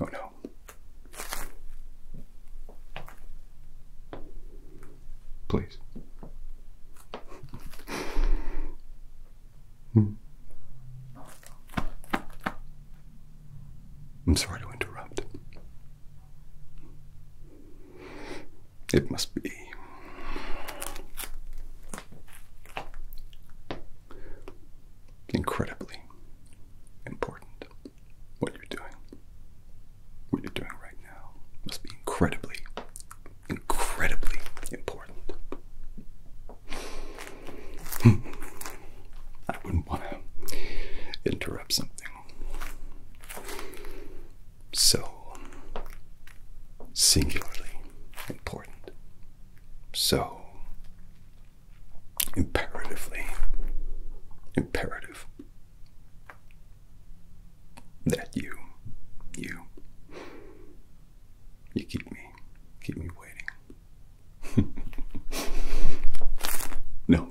Oh no. Please. Hmm. I'm sorry to interrupt. It must be. Incredibly important what you're doing. What you're doing right now must be incredibly, incredibly important. Hmm. I wouldn't want to interrupt something so singularly important, so imperatively imperative that you you you keep me keep me waiting no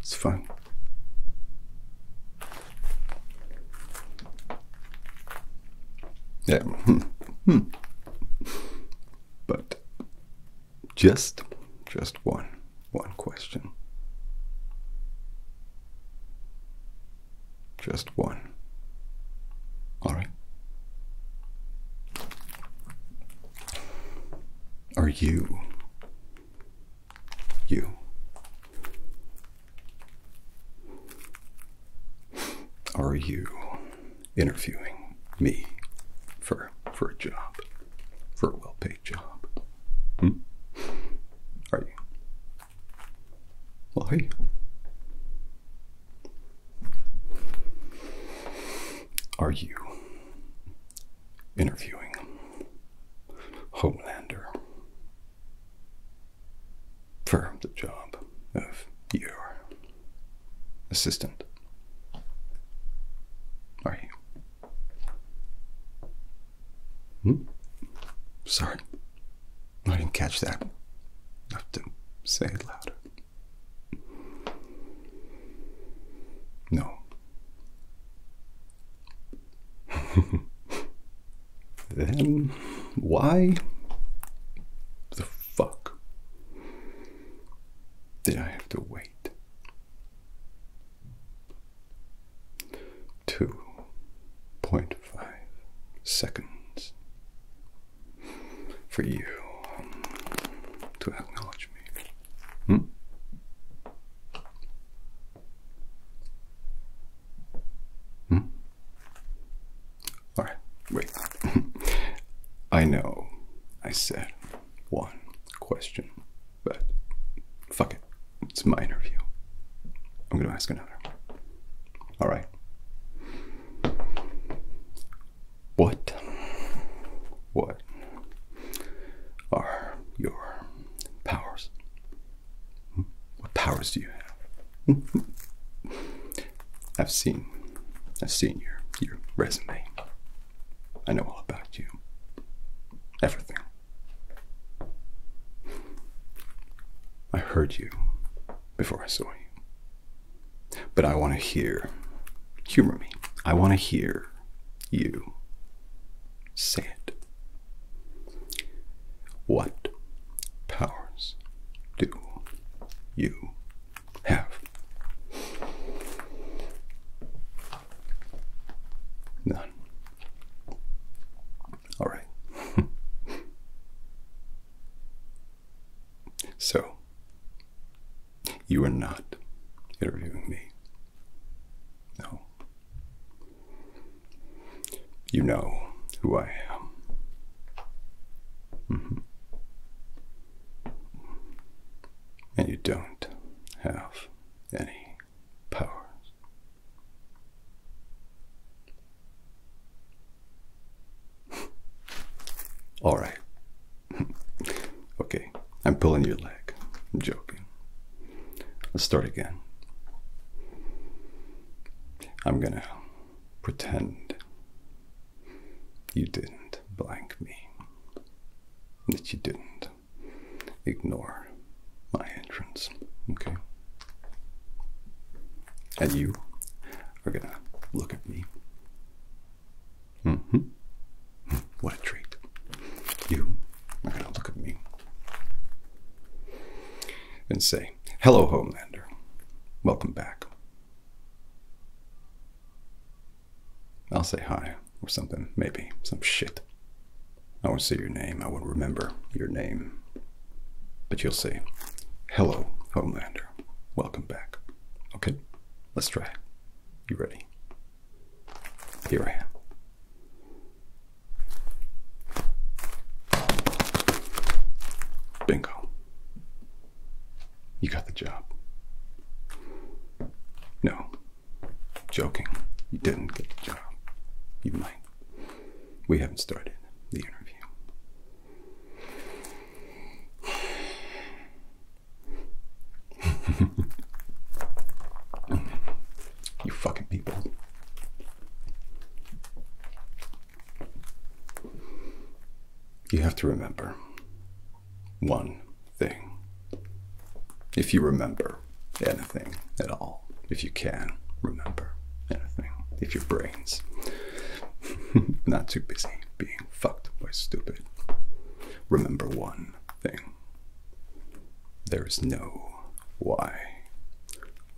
it's fine. yeah hmm. Hmm. But just just one one question. Just one. All right. Are you you are you interviewing me for for a job, for a well-paid job? Hmm? Are you? Why? Are you interviewing Homelander for the job of your assistant are you? Hmm? Sorry, I didn't catch that. I have to say it louder. No. then why the fuck did I have to wait? Two point five seconds for you um, to acknowledge me. Hmm? Hmm? All right, wait. I know I said one question, but fuck it. It's my interview. I'm going to ask another. All right. What? What are your powers? Hmm? What powers do you have? I've seen, I've seen your your resume. I know all about you. Everything. I heard you before I saw you. But I want to hear. Humor me. I want to hear you say it. What powers do you have. None. All right. so, you are not interviewing me. No. You know who I am. Mm-hmm and you don't have any powers. All right. okay, I'm pulling your leg. I'm joking. Let's start again. I'm gonna pretend you didn't blank me, that you didn't ignore my entrance, okay? And you are gonna look at me. Mm-hmm. What a treat. You are gonna look at me and say, Hello, Homelander. Welcome back. I'll say hi or something, maybe. Some shit. I won't say your name. I won't remember your name. But you'll say, hello, Homelander. Welcome back. Okay, let's try. You ready? Here I am. Bingo. You got the job. No, joking. You didn't get the job. You might. We haven't started the interview. you fucking people. You have to remember one thing. If you remember anything at all, if you can remember anything, if your brain's not too busy being fucked by stupid, remember one thing. There is no "why,"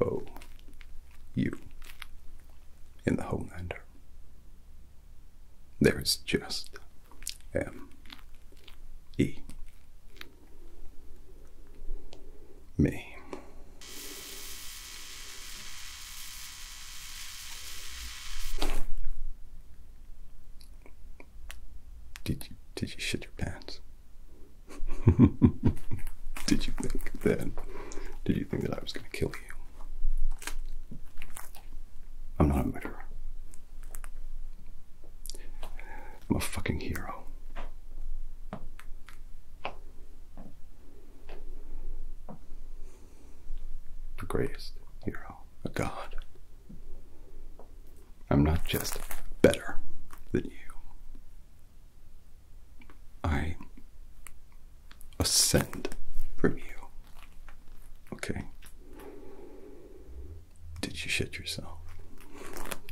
"o," Y O U in the Homelander. There is just M E. Me. Did you did you shit your pants? did you think that? Did you think that I was going to kill you? I'm not a murderer. I'm a fucking hero. The greatest hero, a god. I'm not just better than you. I ascend from you. Okay. Did you shit yourself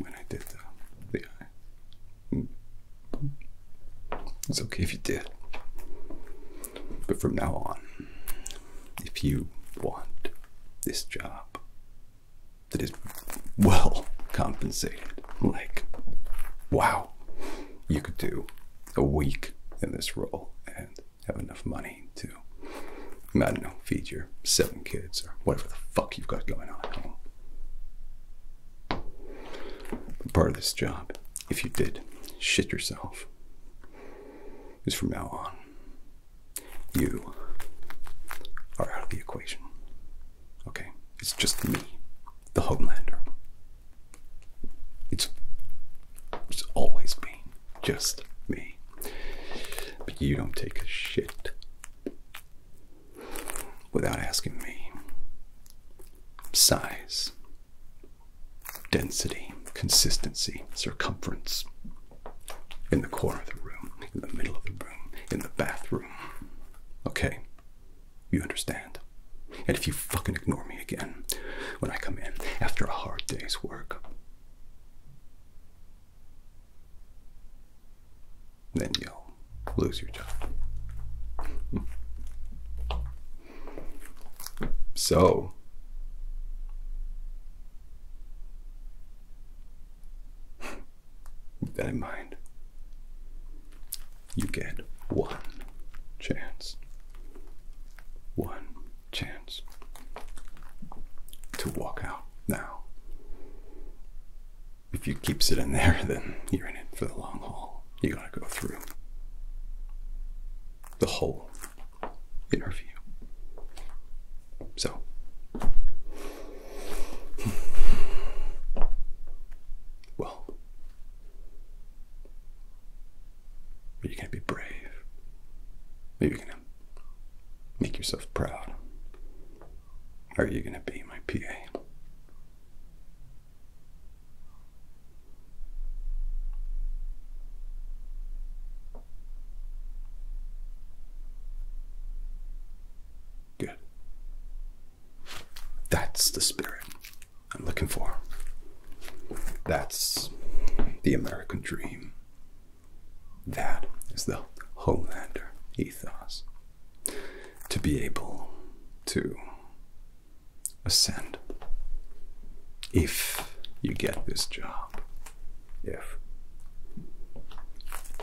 when I did the, the eye? It's okay if you did. But from now on, if you want this job that is well compensated, like, wow, you could do a week in this role and have enough money to, I don't know, feed your seven kids or whatever the fuck you've got going on at home. part of this job, if you did shit yourself, is from now on, you are out of the equation. Okay, it's just me, the Homelander. It's, it's always been just me. But you don't take a shit without asking me. Size, density, consistency, circumference. In the corner of the room, in the middle of the room, in the bathroom. Okay? You understand? And if you fucking ignore me again when I come in after a hard day's work, then you'll lose your job. So, keep that in mind you get one chance. One chance to walk out now. If you keep sitting there, then you're in it for the long haul. You gotta go through the whole interview. So, well, but you can be brave. Maybe you're gonna make yourself proud. Are you gonna be my PA? Good. That's the spirit I'm looking for. That's the American dream. That is the Homelander ethos. To be able to ascend. If you get this job, if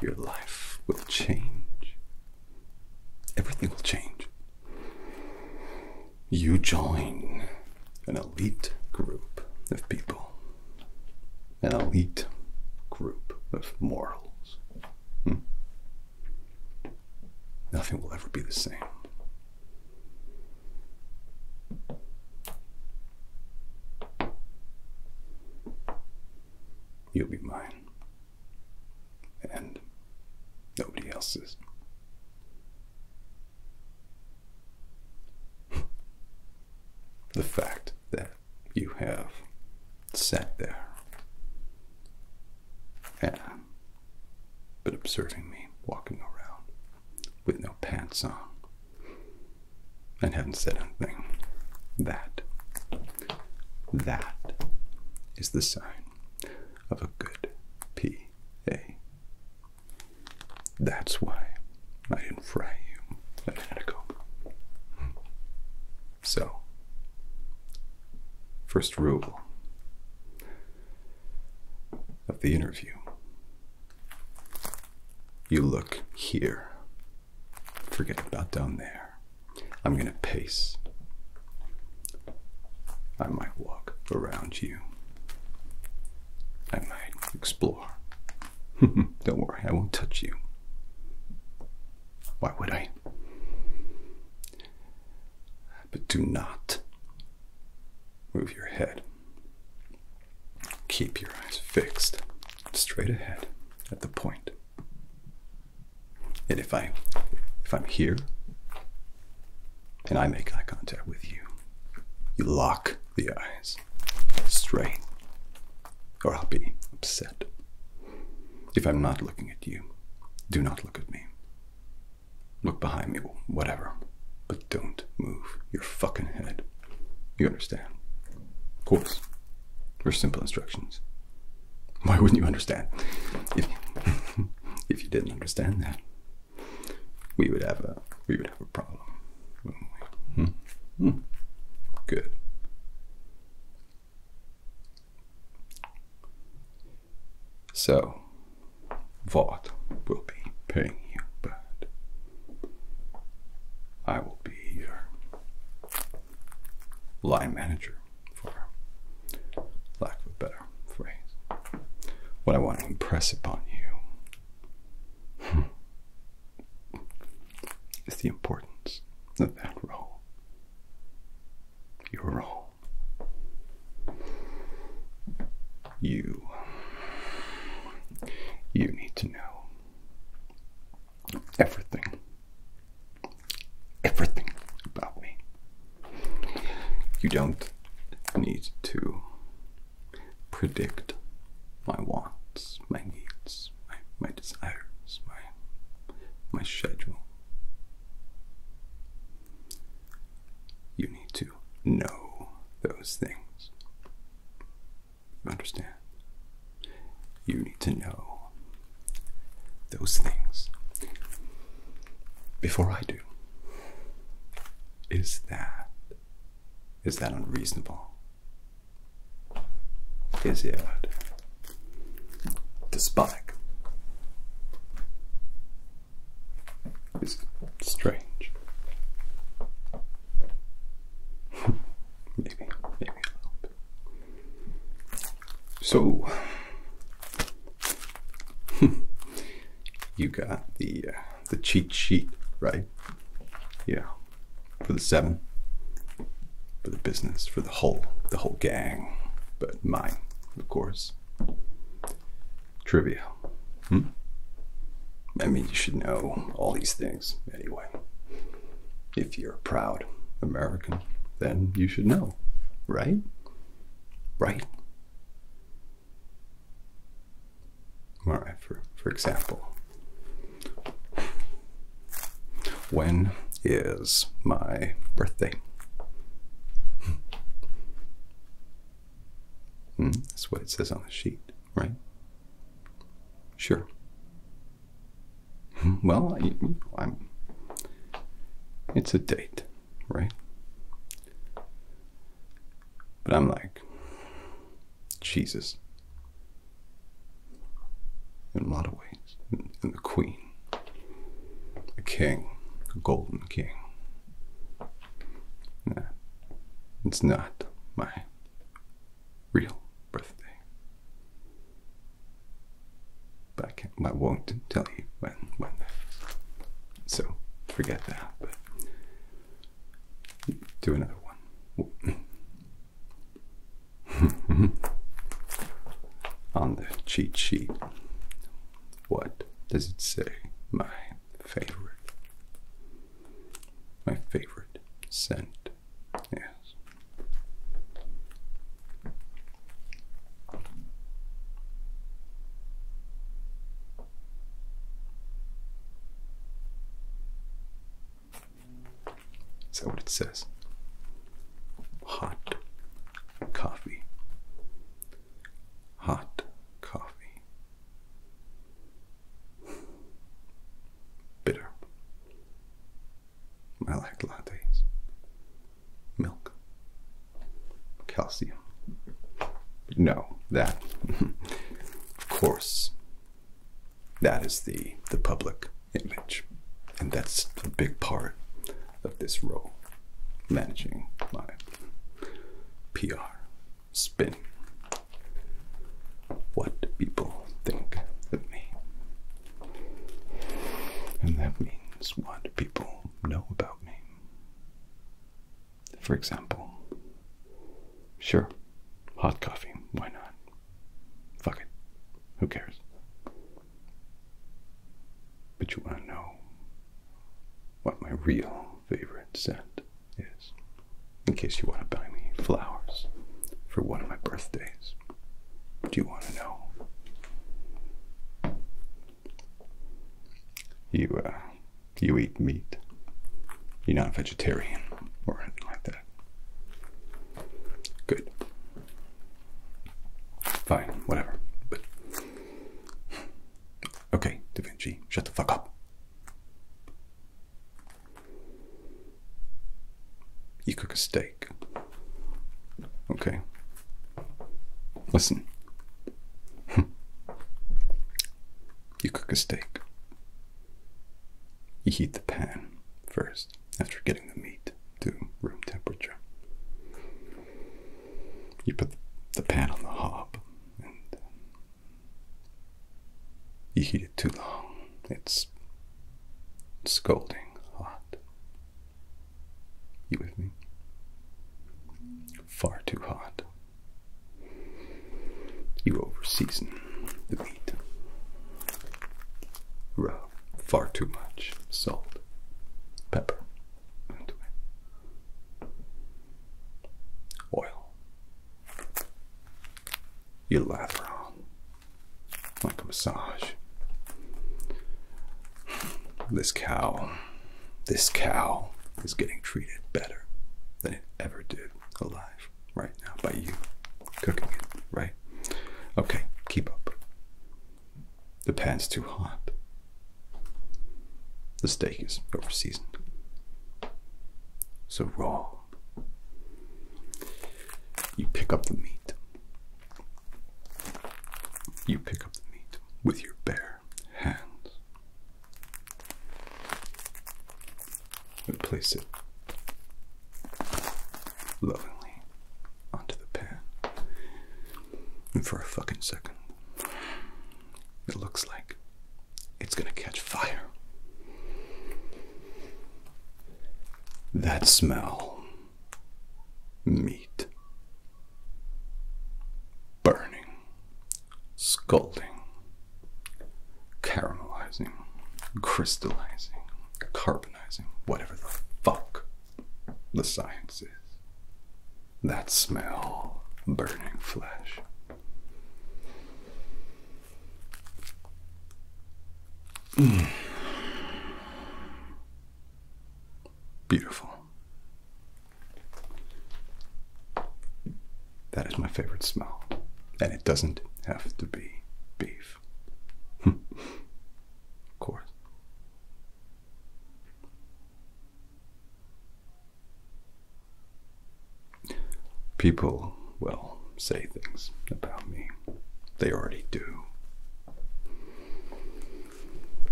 your life will change everything will change. You join an elite group of people, an elite group of morals. Hmm? Nothing will ever be the same. You'll be mine and nobody else's. the fact that you have sat there and been observing me walking around with no pants on and haven't said anything that that is the sign of a good PA. That's why I didn't fry you a minute ago. So, first rule of the interview you look here, forget about down there. I'm going to pace. I might walk around you. I might explore. Don't worry, I won't touch you. Why would I? But do not move your head. Keep your eyes fixed straight ahead at the point. And if I if I'm here and I make eye contact with you, you lock the eyes straight, or I'll be upset. If I'm not looking at you, do not look at me. Look behind me, whatever. But don't move your fucking head. You understand? Of course. For simple instructions. Why wouldn't you understand? If, you didn't understand that, we would have a we would have a problem. Hmm. Hmm. Good. So, Vought will be paying you, but I will be here line manager, for lack of a better phrase. What I want to impress upon you is the importance of that role, your role. You, you need to know everything everything about me. You don't need to predict my wants, my needs, my, desires, my, my schedule. You need to know those things. understand? you need to know those things before I do. Is that is that unreasonable? Is it despotic? Is strange? Maybe, maybe a little bit. So, you got the uh, the cheat sheet, right? Yeah, for the seven, for the business, for the whole the whole gang, but mine, of course. Trivia. Hmm? I mean, you should know all these things anyway. If you're proud American, then you should know, right? Right. All right, for, for example, when is my birthday? Hmm, that's what it says on the sheet, right? Sure. Well, I, am It's a date, right? But I'm like, Jesus. In a lot of ways, and the Queen, the King, the Golden King. Nah, it's not my real birthday. But I, can't, I won't tell you when, when So forget that, but do another one. On the cheat sheet, what does it say? My favorite. My favorite scent Yes. Is that what it says? Hot coffee. Hot coffee. Bitter. I like lattes, milk, calcium. No, that, of course, that is the, the public image. And that's a big part of this role, managing my PR spin. What people think of me. And that means what people know about me. For example, sure, hot coffee, why not? Fuck it, who cares? But you want to know what my real favorite scent is, in case you want to buy me flowers for one of my birthdays do you want to know? You, uh, you eat meat. You're not a vegetarian or anything like that. Good. Fine, whatever. okay, Da Vinci, shut the fuck up. You cook a steak. Okay. Listen. you cook a steak. You heat the pan first after getting the meat to room temperature. You put the pan on the hob uh, you heat it too long. It's scolding hot. You with me? Far too hot. You overseason the meat. Rub far too much salt, pepper Oil. You lather on like a massage. This cow, this cow is getting treated better than it ever did alive right now by you cooking it, right? Okay, keep up. The pan's too hot. The steak is over seasoned. So raw you pick up the meat. You pick up the meat with your bare hands and place it lovingly onto the pan. And for a fucking second, it looks like it's gonna catch fire. That smell. Meat. Burning. Scalding. Caramelizing. Crystallizing. Carbonizing. Whatever the fuck the science is. That smell. Burning flesh. Beautiful. That is my favorite smell. And it doesn't have to be beef. Hmm. of course. People, well, say things about me. They already do.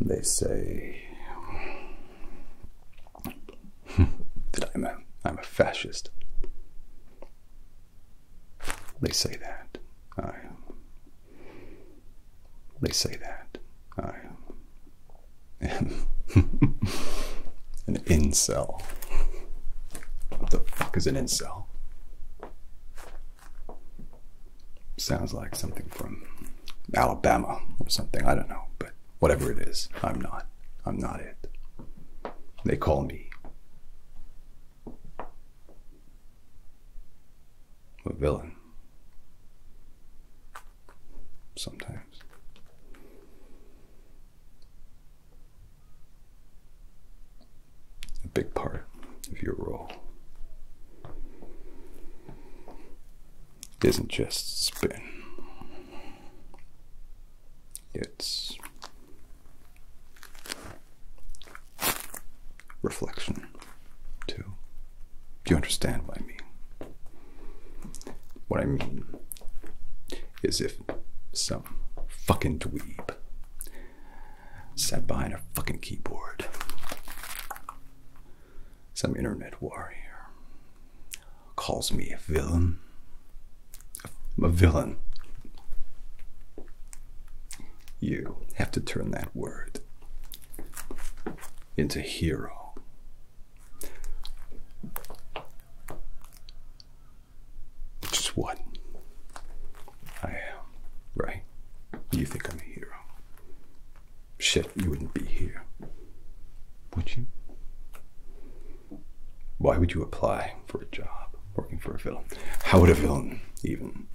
They say that I'm a fascist. They say that I They say that I am an incel. What the fuck is an incel? Sounds like something from Alabama or something. I don't know. But whatever it is, I'm not. I'm not it. They call me. A villain. Sometimes a big part of your role isn't just spin, it's reflection, too. Do you understand what I mean? What I mean is if some fucking dweeb sat behind a fucking keyboard. Some internet warrior calls me a villain. a villain. You have to turn that word into hero. Which is what I am, right? You think I'm a hero. Shit, you wouldn't be here. Would you? Why would you apply for a job working for a villain? How would a villain even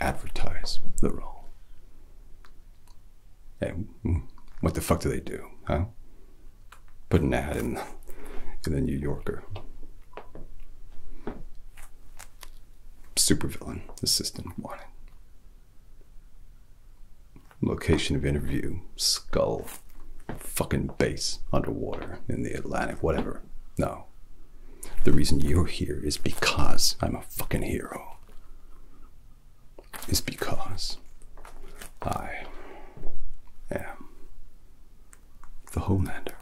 advertise the role? Hey, hmm, what the fuck do they do, huh? Put an ad in the New Yorker Supervillain, assistant wanted. Location of interview, skull, fucking base underwater in the Atlantic, whatever. No. The reason you're here is because I'm a fucking hero. Is because I am the Homelander.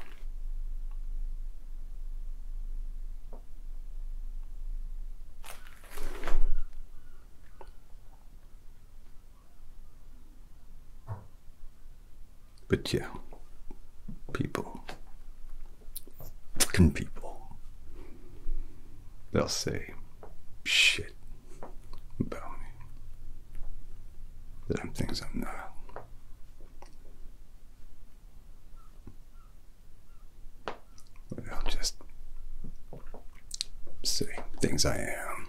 But yeah, people, fucking people, they'll say shit about me. Some things I'm not. But I'll just say things I am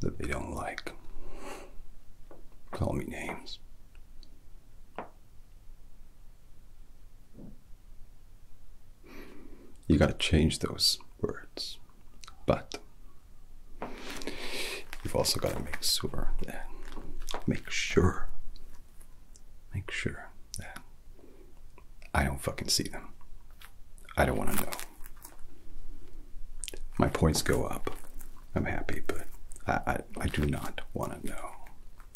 that they don't like. Call me names. You gotta change those words. But You've also got to make sure that, make sure, make sure that I don't fucking see them. I don't want to know. My points go up. I'm happy, but I, I, I do not want to know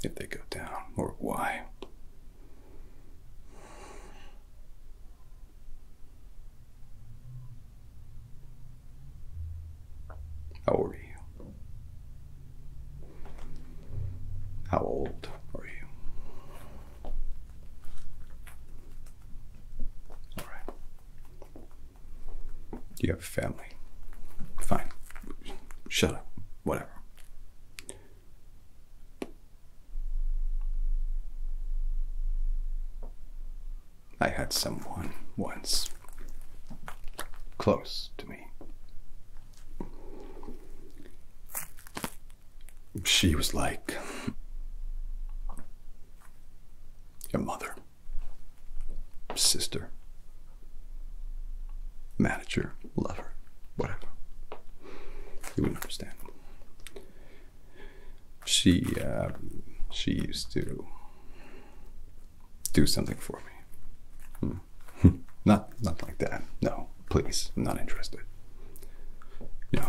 if they go down or why. How old are you? How old are you? All right. Do you have a family? Fine. Shut up. Whatever. I had someone once close to me. She was like a mother, sister, manager, lover, whatever. You wouldn't understand she uh, she used to do something for me. Hmm. not not like that. No, please, I'm not interested. You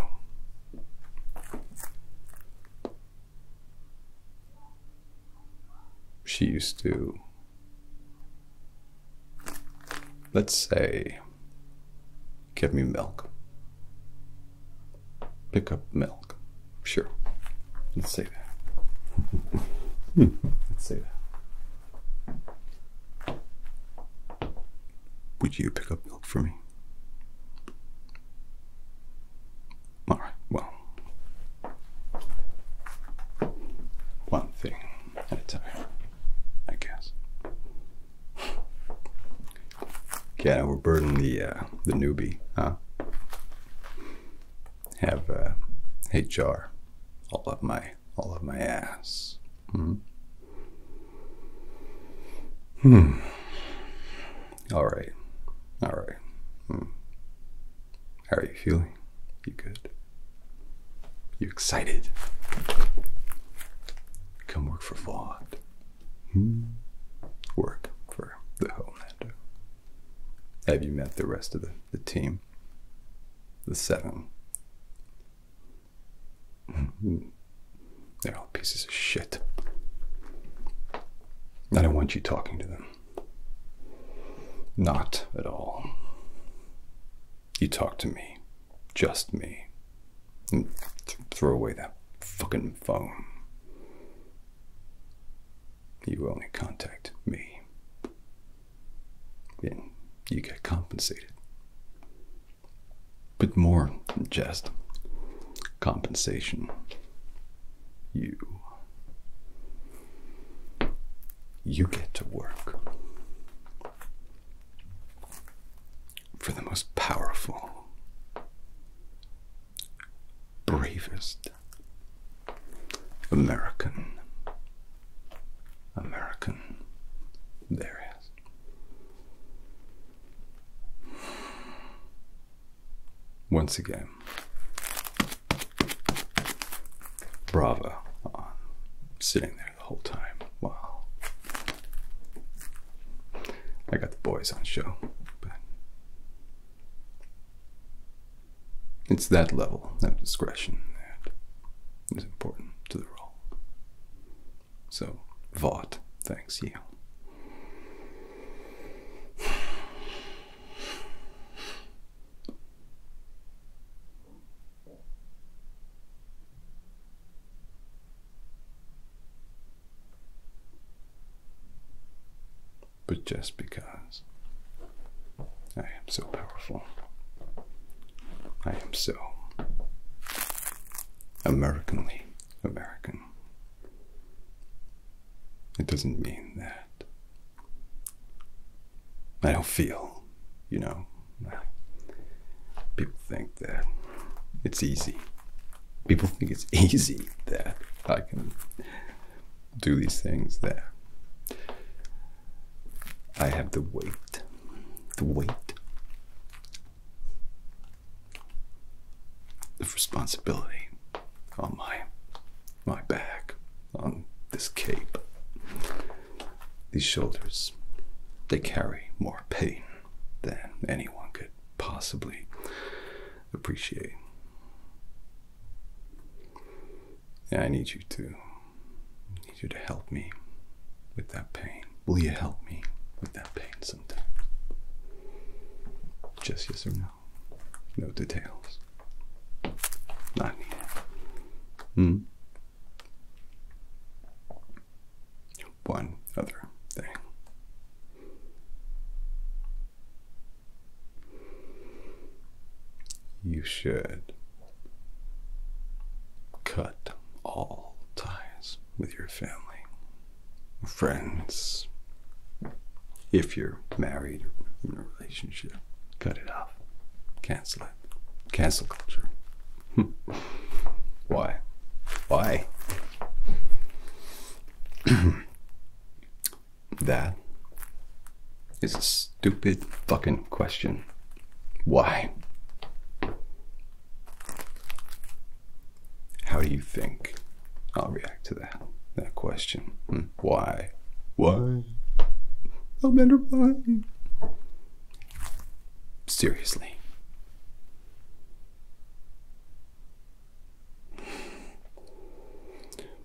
She used to let's say Give me milk. Pick up milk. Sure. Let's say that. Let's say that. Would you pick up milk for me? All right, well, one thing at a time, I guess. Yeah, we're burdening the uh, the newbie, huh? Have uh, HR all of my all up my ass. Mm-hmm. hmm. All right. All right. Hmm. How are you feeling? You good? You excited? Come work for Vaught. Hmm. work for the Homelander. Have you met the rest of the team? The seven. Hmm. They're all pieces of shit. I don't want you talking to them. Not at all. You talk to me. Just me. Th throw away that fucking phone. You only contact me. And you get compensated. But more than just compensation. You. You get to work for the most powerful, bravest American. American. There is. Once again, bravo on sitting there the whole time while I got the boys on show, but it's that level of discretion that is important to the role. So, Vought, thanks you. But just because I am so powerful, I am so Americanly American, it doesn't mean that I don't feel, you know. People think like that. It's easy. People think it's easy that I can do these things there. I have the weight. The weight the responsibility on my my back, on this cape. These shoulders, they carry more pain than anyone could possibly appreciate. And I need you to need you to help me with that pain. Will you help me with that pain sometimes? Just yes or no. No details. Not needed. Hmm one other thing. You should cut all ties with your family, friends. If you're married or in a relationship, cut it off. Cancel it. Cancel culture. Why? Why? that is a stupid fucking question. Why? How do you think I'll react to that that question? Hmm, why? Why? I'll why. Seriously.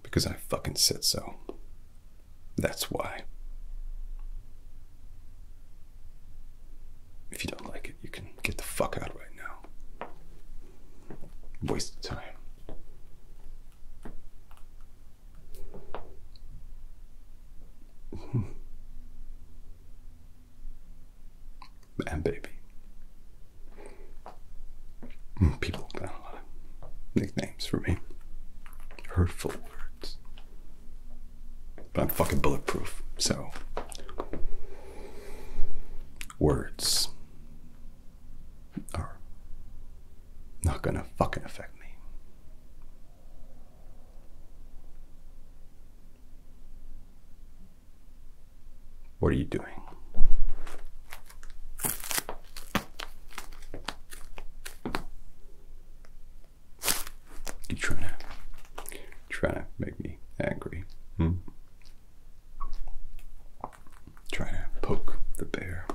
Because I fucking said so. That's why. If you don't like it, you can get the fuck out right now. Waste of time and baby. People got a lot of nicknames for me. Hurtful words. But I'm fucking bulletproof, so. Words are not gonna fucking affect me. What are you doing? You trying to trying to make me angry? Hmm? Trying to poke the bear,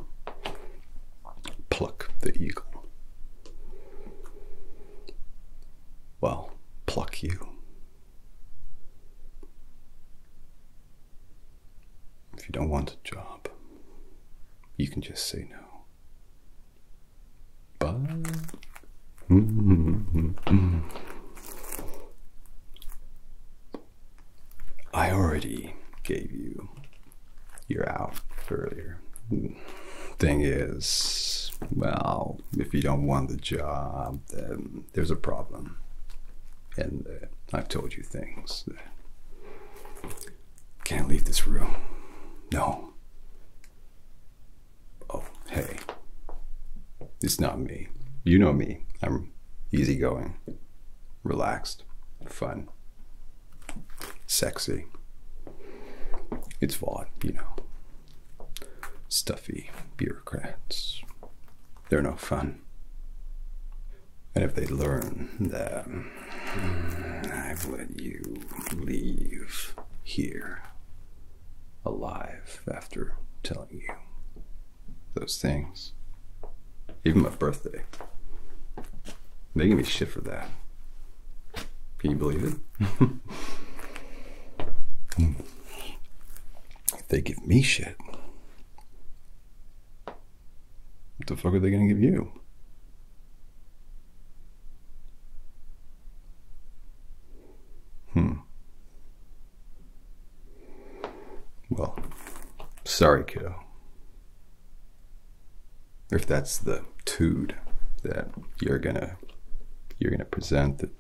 pluck the eagle well, pluck you. If you don't want a job, you can just say no. But I already gave you your out earlier thing is, well, if you don't want the job, then there's a problem. And uh, I've told you things. Can't leave this room. No. Oh, hey. It's not me. You know me. I'm easygoing, relaxed, fun, sexy. It's Vaughn. you know stuffy bureaucrats. They're no fun. And if they learn that mm, I've let you leave here alive after telling you those things, even my birthday, they give me shit for that. Can you believe it? if they give me shit, what the fuck are they gonna give you? Hmm. Well, sorry, kiddo if that's the tude that you're gonna you're gonna present that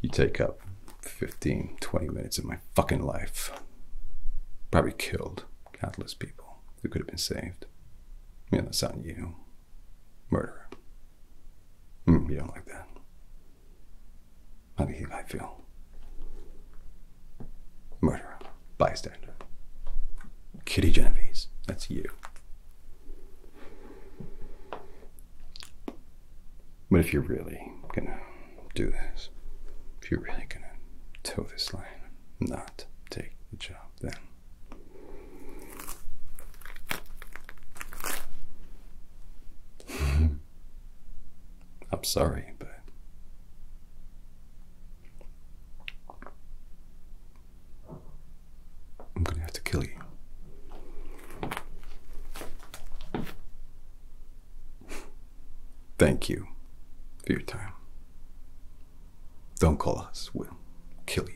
you take up 15 20 minutes of my fucking life probably killed countless people who could have been saved yeah that's not you murderer mm, you don't like that how do you think i feel murderer bystander. Kitty Genovese, that's you. But if you're really gonna do this, if you're really gonna toe this line, not take the job, then I'm sorry, but I'm gonna have to kill you. Thank you for your time. Don't call us, we'll kill you.